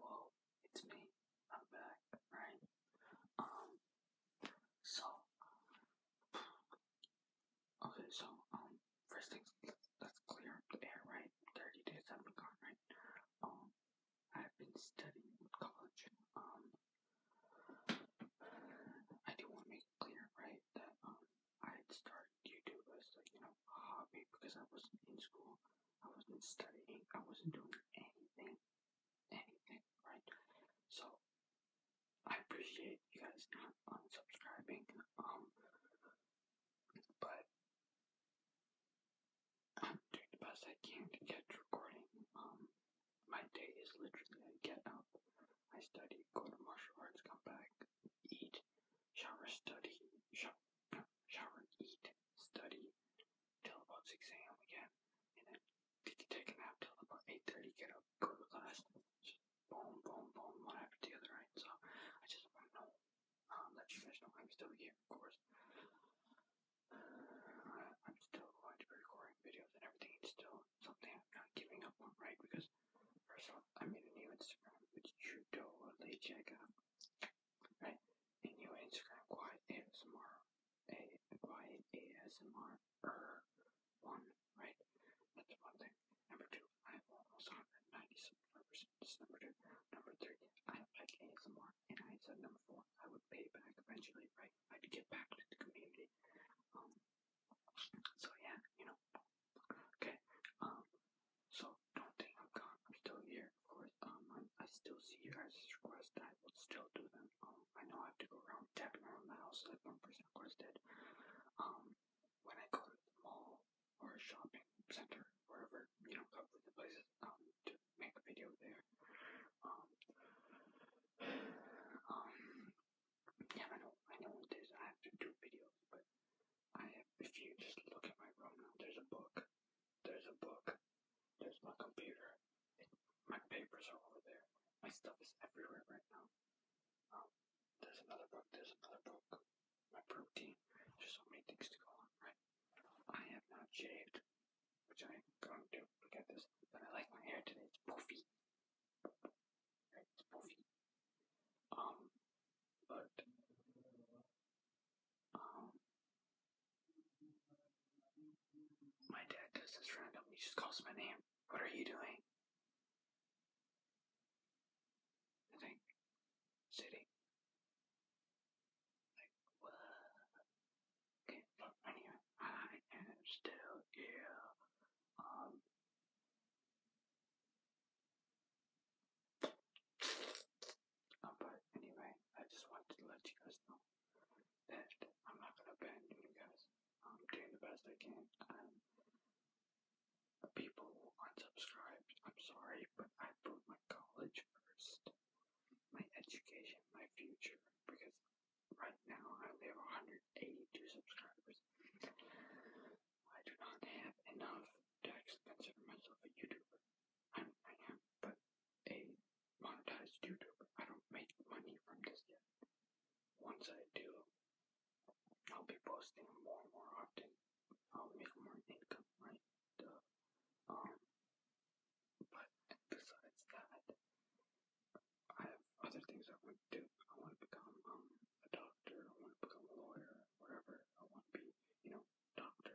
Well, it's me. I'm back, right? Um, so, uh, okay, so, um, first things, let's, clear up the air, right? 30 days right? Um, I've been studying college. Um, I do want to make clear, right, that, um, I had YouTube as, you know, hobby because I wasn't in school. I wasn't studying. I wasn't doing anything. Anything, right? So I appreciate you guys unsubscribing. Um but I'm doing the best I can to get recording. Um my day is literally I get up, I study, go to martial arts, come back, eat, shower, study, shower, shower, eat, study, till about 6 a.m. again, and then take a nap till about 8.30, get up, go to class, just boom, boom, boom, one after the other, right? So, I just want to know, um, let you guys know I'm still here, of course. I'm still going to be videos and everything, still something I'm not giving up on, right? Because, first of all, I made a new Instagram, which you totally check out right? And your Instagram quiet ASMR, a quiet ASMR er one, right? That's one thing. Number two, I have almost 190 subscribers. That's number two. Number three, I like ASMR, and I said number four, I would pay back eventually, right? I'd get back to the community. Um. So yeah, you know, Okay. Um. So don't think I'm gone. I'm still here, of course. Um. I'm, I still see your guys' requests. I will still do them. Um. I know I have to go around tapping around the house like one person requested. Um. When I go to the mall or shopping center, wherever you know, go to the places. Um. To make a video there. Um. um yeah, I know. I know it is. I have to do videos, but I if you just look at my room there's a book, there's a book, there's my computer, my papers are over there, my stuff is everywhere right now. Um, there's another book, there's another book, my protein, there's so many things to go on, right? I have not shaved, which I am going to, look at this, but I like my hair today, it's poofy. Right, it's poofy. Um, but um, my dad does this random. He just calls my name. What are you doing? I think sitting. Like what? Okay, look, anyway, I am still here. Um, Oh, but anyway, I just wanted to let you guys know that I'm not gonna abandon you guys. I'm doing the best I can. Um, people unsubscribed. I'm sorry, but I put my college first, my education, my future, because right now I only have 182 subscribers. I do not have enough to consider myself a YouTuber. I, am, but a monetized YouTuber. I don't make money from this yet. Once I do, I'll be posting more and more often. I'll make more income, right? Um, but besides that, I have other things I want to do. I want to become um, a dog doctor, I want to become a lawyer, whatever. I want to be, you know, doctor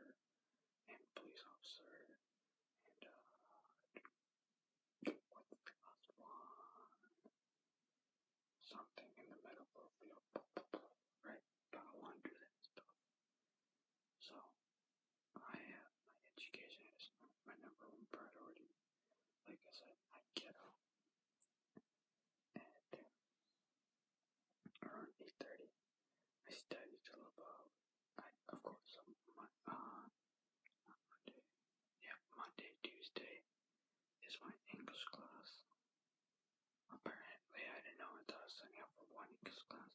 and police officer and uh what's the last one? Something in the medical field. Right? But I want to do that stuff. So I have my education is my number one priority. Like I said, I get up at around 8.30. I studied till about, I, of course, my, uh, Monday, yeah, Monday, Tuesday is my English class. Apparently, I didn't know until I was signing up for one English class.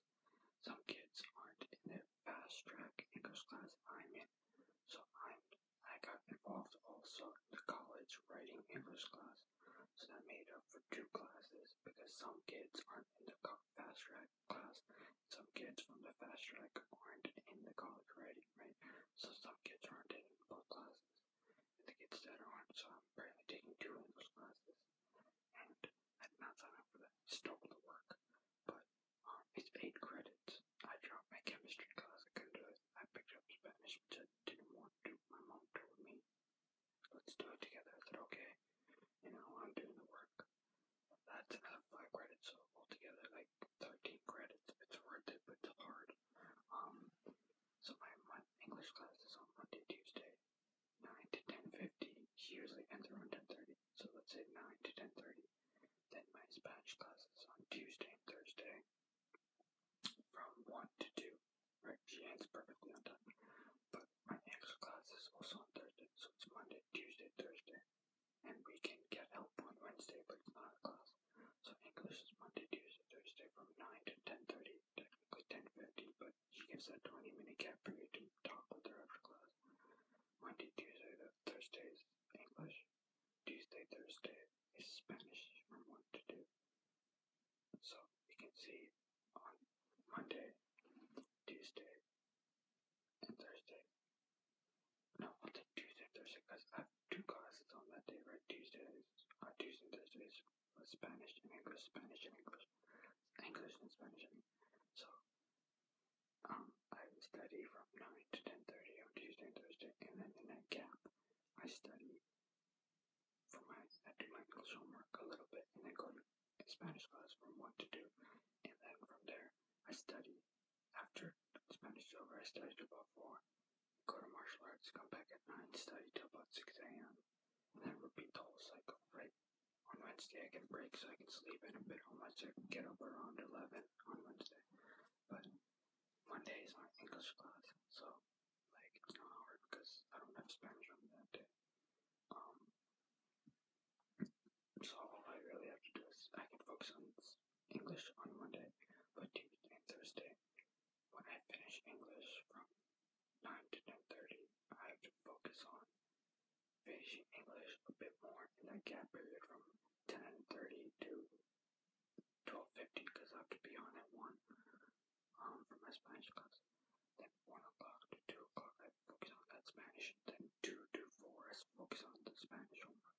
Some kids aren't in their fast track English class I'm in, so I'm, I got involved also in the college writing English class so that made up for two classes because some kids aren't in the fast track class, some kids from the fast track aren't in the college writing, right? So some kids aren't in both classes, and the kids that aren't, so I'm barely taking two English classes, and I did not sign up for that. Stole the work, but um, it's eight credits. I dropped my chemistry class. I couldn't do it. I picked up Spanish, which I didn't want my mom told me. Let's do it together. I said, okay. You know, I'm doing the work. That's five credits, so altogether, like 13 credits. It's worth it, but it's hard. Um, so my English class is on Monday, Tuesday, 9 to 10.50. She usually ends around 10.30, so let's say 9 to 10.30. Then my Spanish class is on Tuesday and Thursday, from 1 to 2. Right, she ends perfectly on time. But my extra class is also on Thursday, so it's Monday, Tuesday, Thursday. And we can get help on Wednesday, but it's not a class. So English is Monday, Tuesday, Thursday from 9 to 10.30, technically 10.50, but she gives a 20-minute gap for you to talk with her after class. Monday, Tuesday, Thursday is English. Tuesday, Thursday is Spanish from 1 to do? So we can see on Monday, Tuesday, and Thursday. No, i Tuesday, Thursday because I have two classes on that day, right? Tuesday is uh, Tuesday and Spanish and English, Spanish and English, English and Spanish. so um, I study from 9 to 10.30 on Tuesday and Thursday, and then the that cap. I study for my I did my English homework a little bit and then go to Spanish class from what to do and then from there I study. after Spanish is over I studied till about four, go to martial arts, come back at nine, study till about six AM then repeat the whole cycle, right? On Wednesday I get break so I can sleep in a bit home I get up around eleven on Wednesday. But one is my English class, so like it's not hard because I don't have Spanish on that day. Um, so all I really have to do is I can focus on English on Monday, but Tuesday and Thursday, when I finish English from nine to ten thirty, I have to focus on finishing English a bit more in that gap period from ten thirty to 12.50 because I could be on at 1 um, for my Spanish class. Then 1 o'clock to 2 o'clock I focus on that Spanish. Then 2 to 4 I focus on the Spanish homework.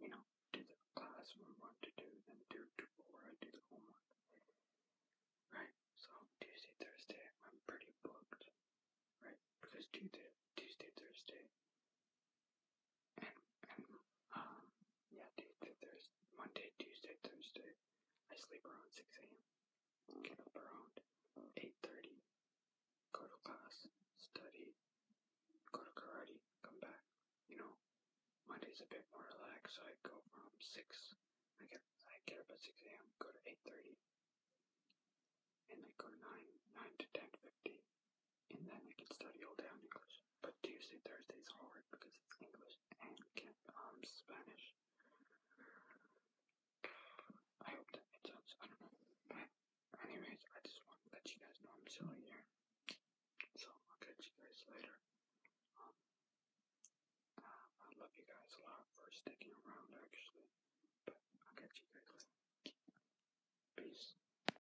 You know, do the class from 1 to 2, then 2 to 4 I do the homework. Right, so Tuesday, Thursday I'm pretty booked. Right, because Tuesday, Tuesday Thursday and, and yeah, Tuesday, Thursday, Monday, Tuesday, Thursday, I sleep around 6 a.m., get up around 8.30, go to class, study, go to karate, come back, you know, Monday's a bit more relaxed, so I go from 6, I get, I get up at 6 a.m., go to 8.30, and I go 9, 9 to 10.50, and then I can study all down English. But Tuesday, Thursday is hard because it's English and um, Spanish. I hope that makes sense. I don't know. But anyways, I just want to let you guys know I'm still here. So I'll catch you guys later. Um, uh, I love you guys a lot for sticking around, actually. But I'll catch you guys later. Peace.